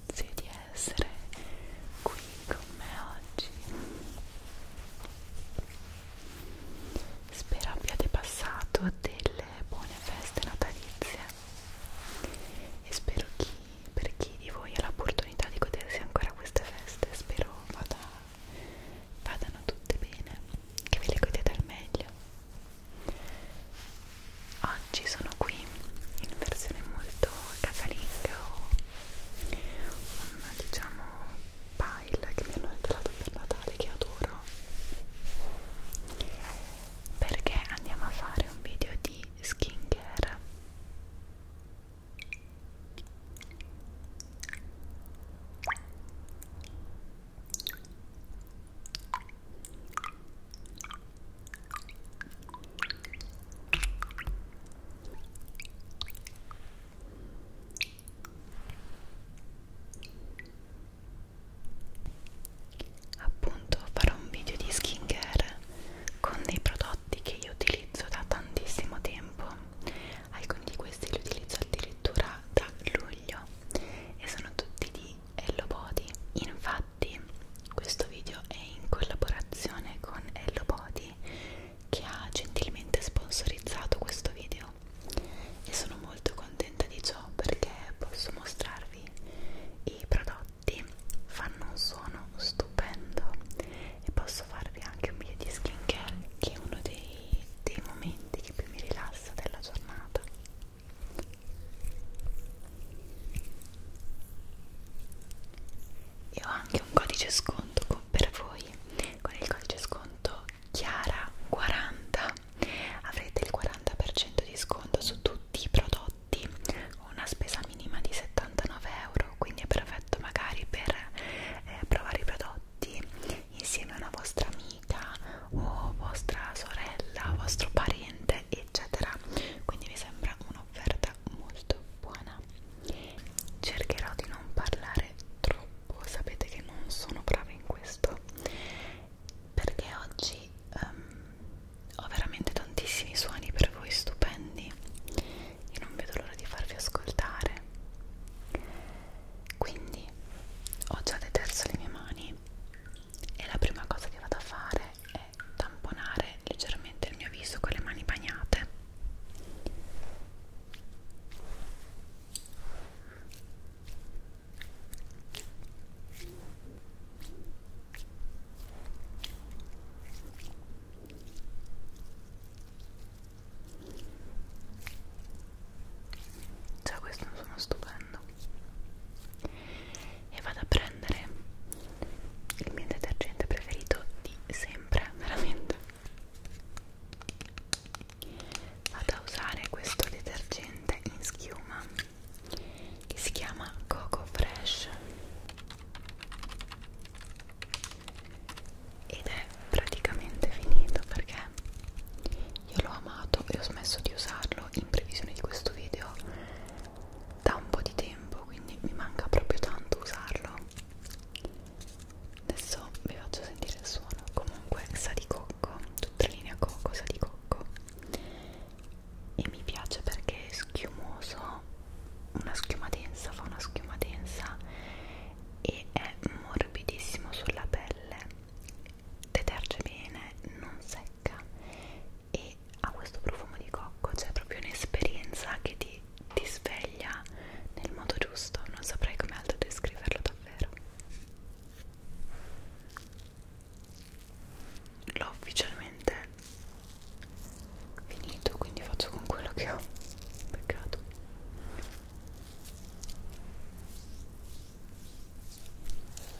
Grazie di essere qui con me oggi. Spero abbiate passato delle buone feste natalizie e spero chi, per chi di voi ha l'opportunità di godersi ancora queste feste, spero vada, vadano tutte bene, che ve le godete al meglio Oggi sono qui in versione molto casalinga ho un diciamo pile che mi hanno regalato per Natale che adoro perché andiamo a fare un video di skincare appunto farò un video di skincare con dei prodotti che io utilizzo da tantissimo tempo alcuni di questi li utilizzo addirittura da luglio e sono tutti di Hello Body infatti questo video è in collaborazione con Hello Body che ha gentilmente sponsorizzato questo video e sono molto contenta di ciò perché posso mostrarvi i prodotti fanno un suono stupendo e posso farvi anche un video di skincare che è uno dei, dei momenti che più mi rilassa della giornata e ho anche un codice sconto per voi con il codice sconto Chiara40 avrete il 40% di sconto su tutti i prodotti una spesa minima di 79 euro quindi è perfetto magari per eh, provare i prodotti insieme a una vostra amica o vostra sorella, vostro parente, eccetera. Quindi mi sembra un'offerta molto buona. Cercherò di non parlare troppo, sapete che non sono brava in questo perché oggi um, ho veramente tantissimi suoni per voi stupendi e non vedo l'ora di farvi ascoltare quindi ho già deterso le mie mani e la prima cosa che vado a fare è tamponare leggermente il mio viso con le mani bagnate Cioè questo è uno stupendo vado e vado a prendere il mio detergente preferito di sempre veramente vado a usare questo detergente in schiuma che si chiama Coco Fresh ed è praticamente finito perché io l'ho amato e ho smesso di usarlo in previsione di questo video da un po' di tempo quindi mi manca proprio tanto usarlo adesso vi faccio sentire il suono comunque sa di cocco tutta linea cocco sa di cocco e mi piace perché è schiumoso una schiuma densa fa una schiuma densa e è morbidissimo sulla pelle deterge bene non secca e ha questo profumo di cocco, cioè proprio un'esperienza che ti, ti sveglia nel modo giusto, non saprei come altro descriverlo davvero. L'ho ufficialmente finito, quindi faccio con quello che ho. Peccato.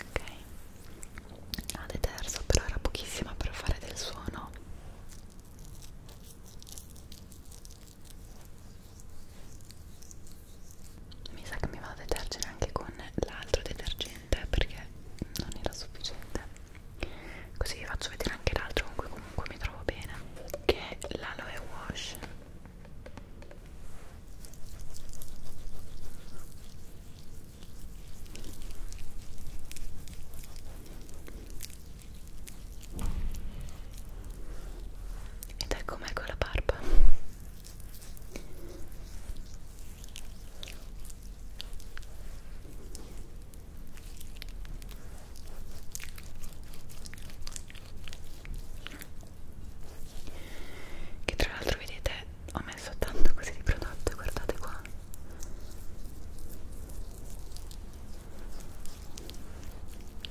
Ok, ah, la de terzo però era pochissima per fare del suono mi sa che mi vado a detergere anche con l'altro detergente perché non era sufficiente così vi faccio vedere anche l'altro con cui comunque mi trovo bene che è l'aloe wash ed ecco me con la barba che tra l'altro vedete ho messo tanto così di prodotto guardate qua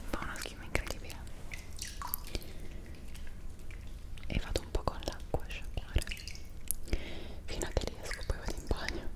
fa una schifo incredibile e vado un po' con l'acqua a sciacquare fino a che riesco poi vado in bagno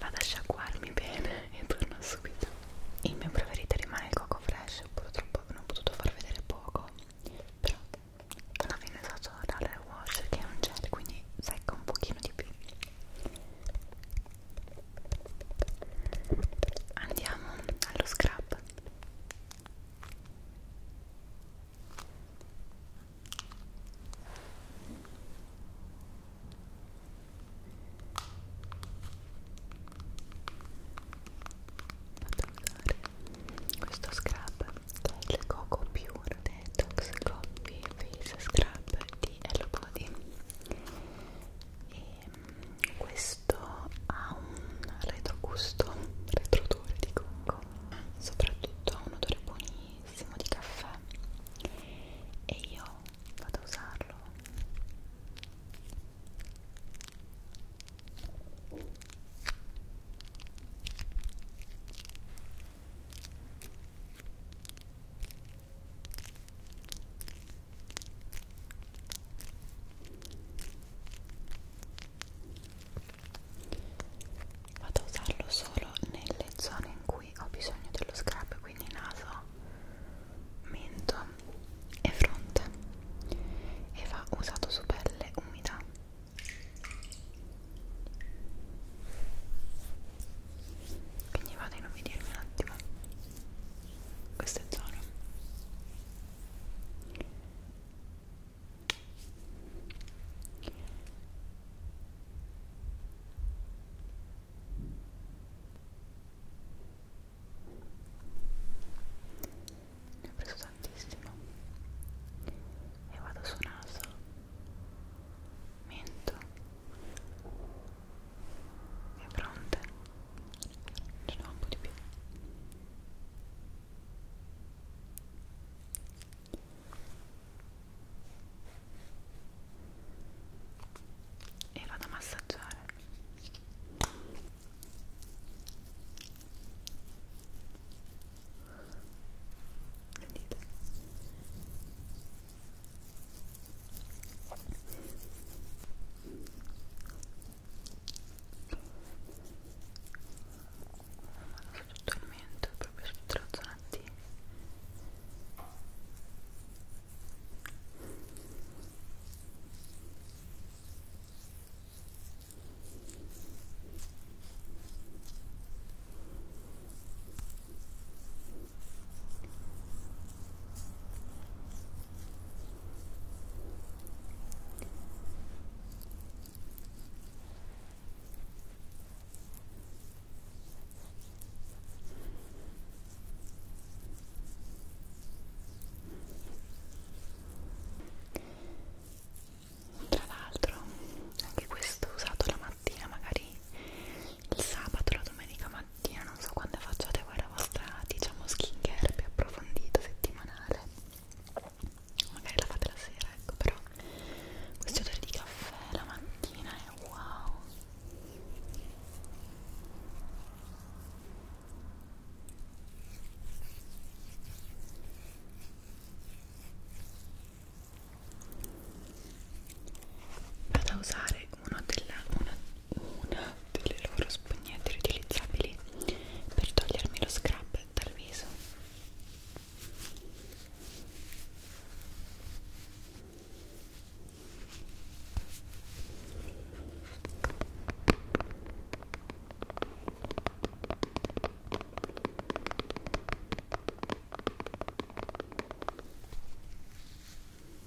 Vado a sciacquarmi bene e torno subito. Il mio preferito rimane il coco fresh, purtroppo non ho potuto far vedere poco. Però alla fine so dare wash che è un gel, quindi secca un pochino di più. Andiamo allo scrub. Questo scrub che è il Coco Pure Detox Coffee Face Scrub di Hello Body e mm, questo ha un retrogusto, retroodore di cocco soprattutto ha un odore buonissimo di caffè e io vado a usarlo Vado a usarlo solo nelle zone in cui ho bisogno dello scrub, quindi naso, mento e fronte. E va usato su pelle umida. Quindi vado a inumidire un attimo. Questo è Zoro ne ho preso tantissimo e vado su naso mento è pronta ce n'ho un po' di più e vado a massaggiare Vedete? sotto il mento, proprio sotto la zona T tra l'altro, anche questo usato la mattina magari il sabato, la domenica mattina, non so quando facciate voi la vostra, diciamo, skincare più approfondita settimanale magari la fate la sera, ecco, però questo odore di caffè la mattina è wow vado a usare uno della, una, una delle loro spugnette riutilizzabili per togliermi lo scrub dal viso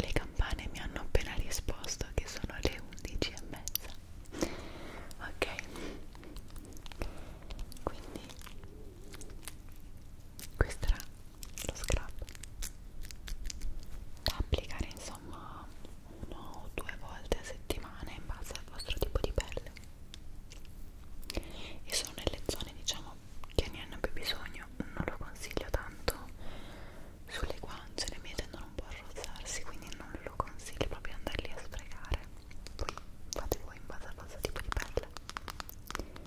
Le campane mi hanno appena risposto che sono le 11 e mezza. Ok, quindi questo era lo scrub da applicare insomma una o due volte a settimana in base al vostro tipo di pelle e sono nelle zone diciamo che ne hanno più bisogno non lo consiglio tanto sulle guance le mie tendono un po' a rozzarsi quindi non lo consiglio proprio andarli a sprecare poi fate voi in base al vostro tipo di pelle e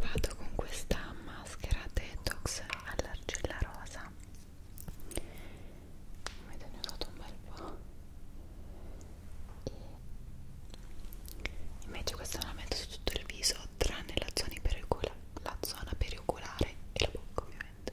vado con questa maschera detox all'argilla rosa Avete ne ho usato un bel po' e invece questa la metto su tutto il viso tranne la zona, pericula la zona perioculare e la bocca ovviamente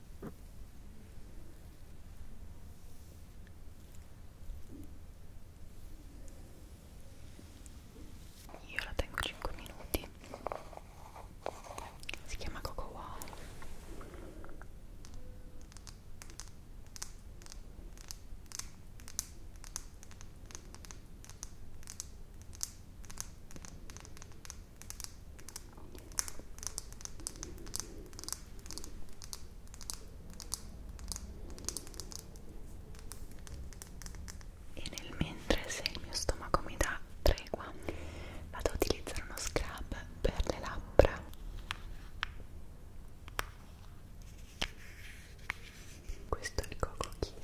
Io la tengo 5 minuti. Si chiama Coco Wow e nel mentre se il mio stomaco mi dà tregua vado ad utilizzare uno scrub per le labbra questo è il Coco Kiss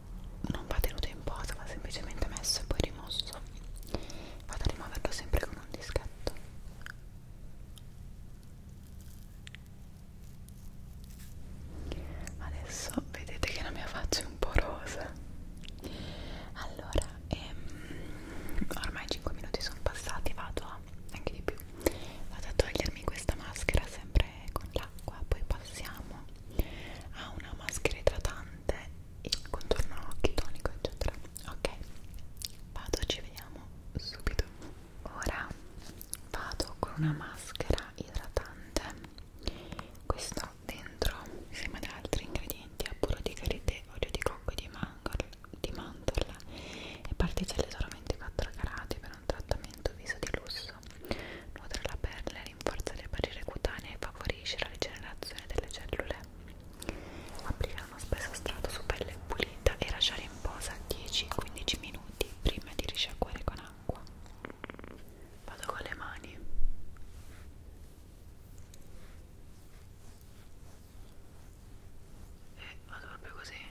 non va tenuto in posa va semplicemente messo e poi rimosso vado a rimuoverlo sempre con un dischetto adesso vedete che la mia faccia è un po' rosa allora ehm, ormai 5 minuti sono passati vado a anche di più vado a togliermi questa maschera sempre con l'acqua poi passiamo a una maschera idratante il contorno occhi tonico eccetera ok vado ci vediamo subito ora vado con una maschera idratante questo dentro insieme ad altri ingredienti a burro di karité olio di cocco e di mandorla di mandorla e particelle solo 24 carati per un trattamento viso di lusso rosso. Nutre la pelle, rinforza le barriere cutanee e favorisce la rigenerazione delle cellule. Applicare uno spesso strato su pelle pulita e lasciare in posa 10-15 minuti prima di risciacquare con acqua. Vado con le mani. E eh, vado proprio così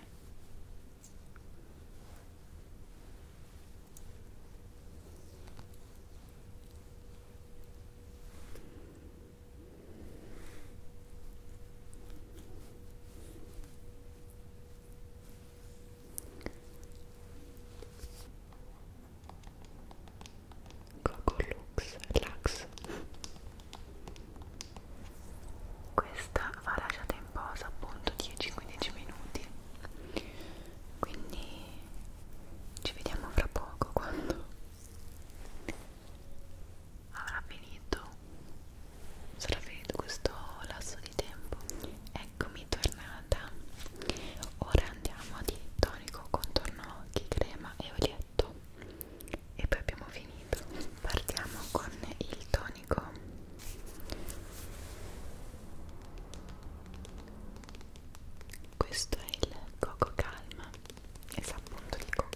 Coco Lux Lux questa va lasciata in posa appunto 10-15 minuti quindi ci vediamo fra poco quando avrà finito sarà finito questo lasso di tempo eccomi tornata ora andiamo di tonico contorno occhi crema e olietto e poi abbiamo finito partiamo con il tonico questo è il Coco Calma e sa appunto di cocco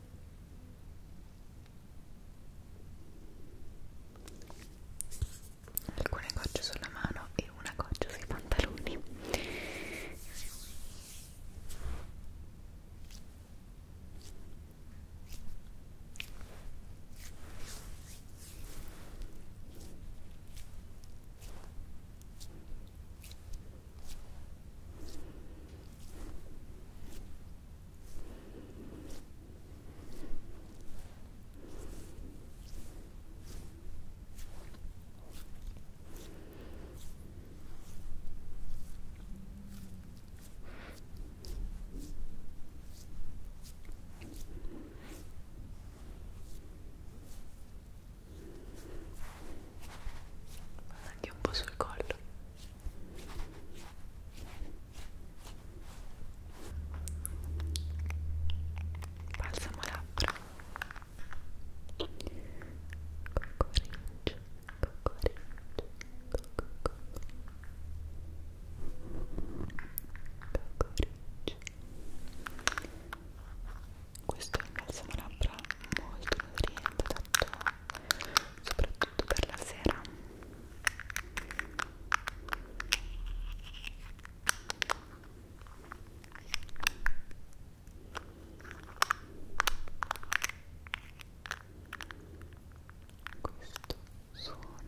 alcune gocce sulla mano e una goccia sui pantaloni anche un po' sul collo balsamo labbra cocoricio cocoricio cocoricio questo è un balsamo labbra molto nutriente, tanto soprattutto per la sera questo suono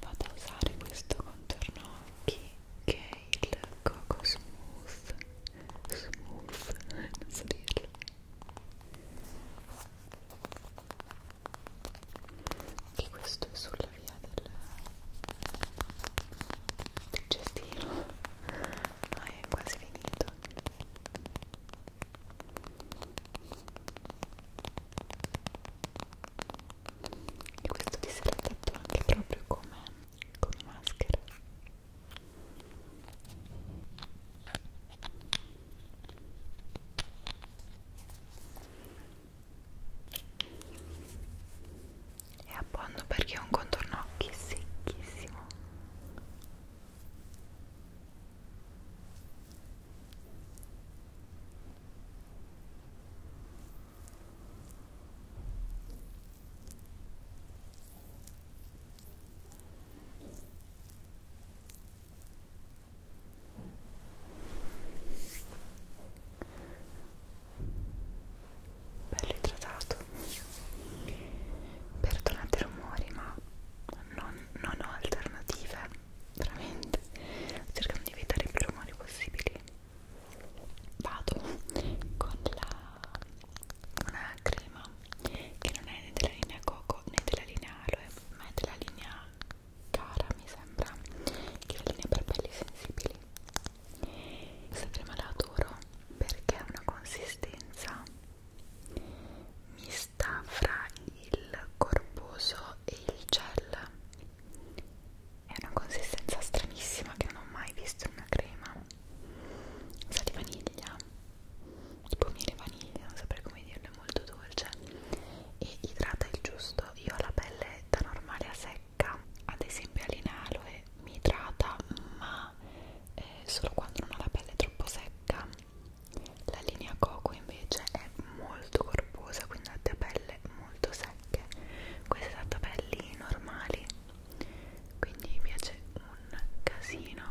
vado a usare questo contorno occhi che è il Coco Smooth Smooth, non so dirlo che questo è sulla via del, del cestino ma è quasi finito e questo ti sarà fatto anche proprio come con maschera è a buono perché è un contorno occhi secchissimo bello idratato perdonate i rumori ma non, non ho alternative veramente cercando di evitare più rumori possibili vado con la una crema che non è né della linea Coco né della linea Aloe ma è della linea Cara mi sembra che è la linea per pelli sensibili questa crema la adoro perché ha una consistenza mista fra il corposo e il gel è una consistenza stranissima che non ho mai visto in una crema sa di vaniglia tipo miele vaniglia non saprei come dirlo è molto dolce e idrata il giusto io ho la pelle da normale a secca ad esempio all'inaloe mi idrata ma eh, solo quando non ho la pelle troppo secca la linea coco invece è molto corposa quindi ha delle pelle molto secche queste ha pelli normali quindi mi piace un casino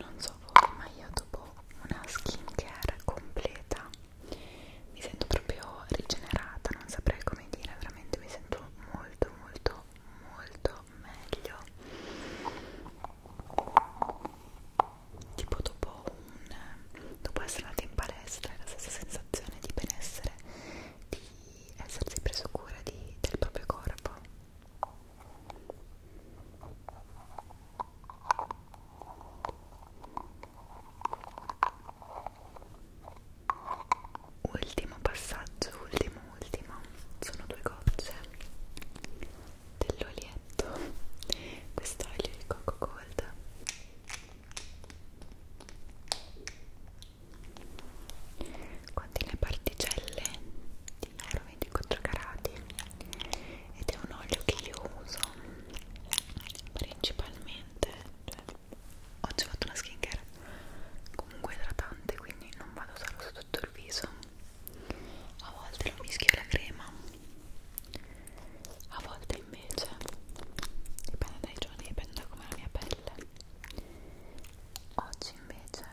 non so voi ma io dopo una skincare completa mi sento proprio rigenerata non saprei come dire veramente mi sento molto molto molto meglio tipo dopo un dopo essere andata in palestra è la stessa sensazione di benessere di di essersi preso cura di, del proprio corpo. Ultimo passaggio, ultimo, ultimo, sono due gocce dell'olietto, questo olio di cocco gold Contiene particelle di oro 24 carati ed è un olio che io uso principalmente, cioè oggi ho fatto una skincare comunque idratante quindi non vado a usarlo su tutto il viso, a volte lo mischio alla crema, a volte invece dipende dai giorni, dipende da come la mia pelle mille oggi invece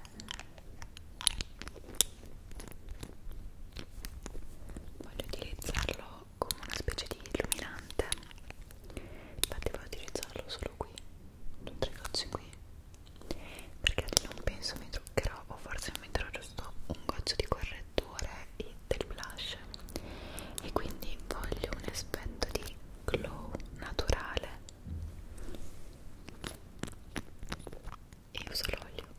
voglio utilizzarlo come una specie di illuminante infatti voglio utilizzarlo solo qui su tre gocce qui perché non penso mi truccherò o forse metterò giusto un goccio di correttore e del blush e quindi voglio un aspetto di glow naturale e uso l'olio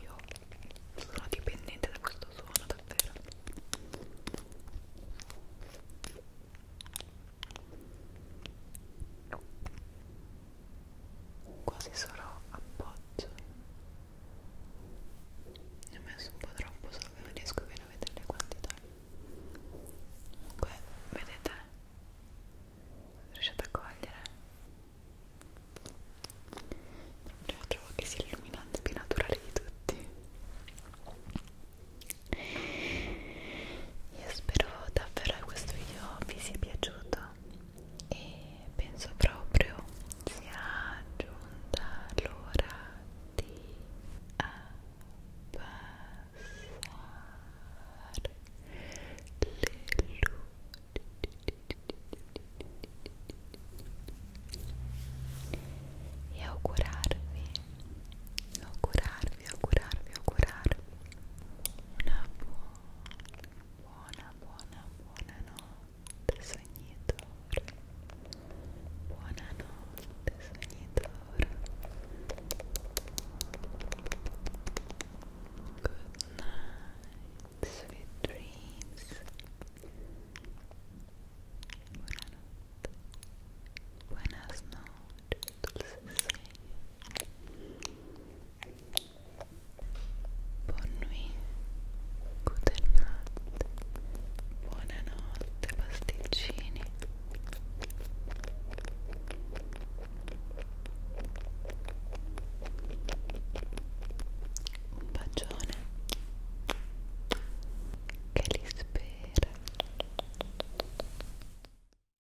io sono dipendente da questo suono davvero quasi solo appoggio ne ho messo un po' troppo solo che non riesco bene a vedere le quantità comunque vedete riuscite a cogliere Proprio trovo che sia illuminante più naturale di tutti io spero davvero che questo video vi sia piaciuto e penso proprio sia giunta l'ora di abbassare le luci e augurarvi augurarvi augurarvi, augurarvi, augurarvi una buona, buona, buona notte sognitore buona notte sognitore good night, sweet dreams buonanotte buenas noches Buon nuit, goodnight, buonanotte pasticcini Un bacione che li spera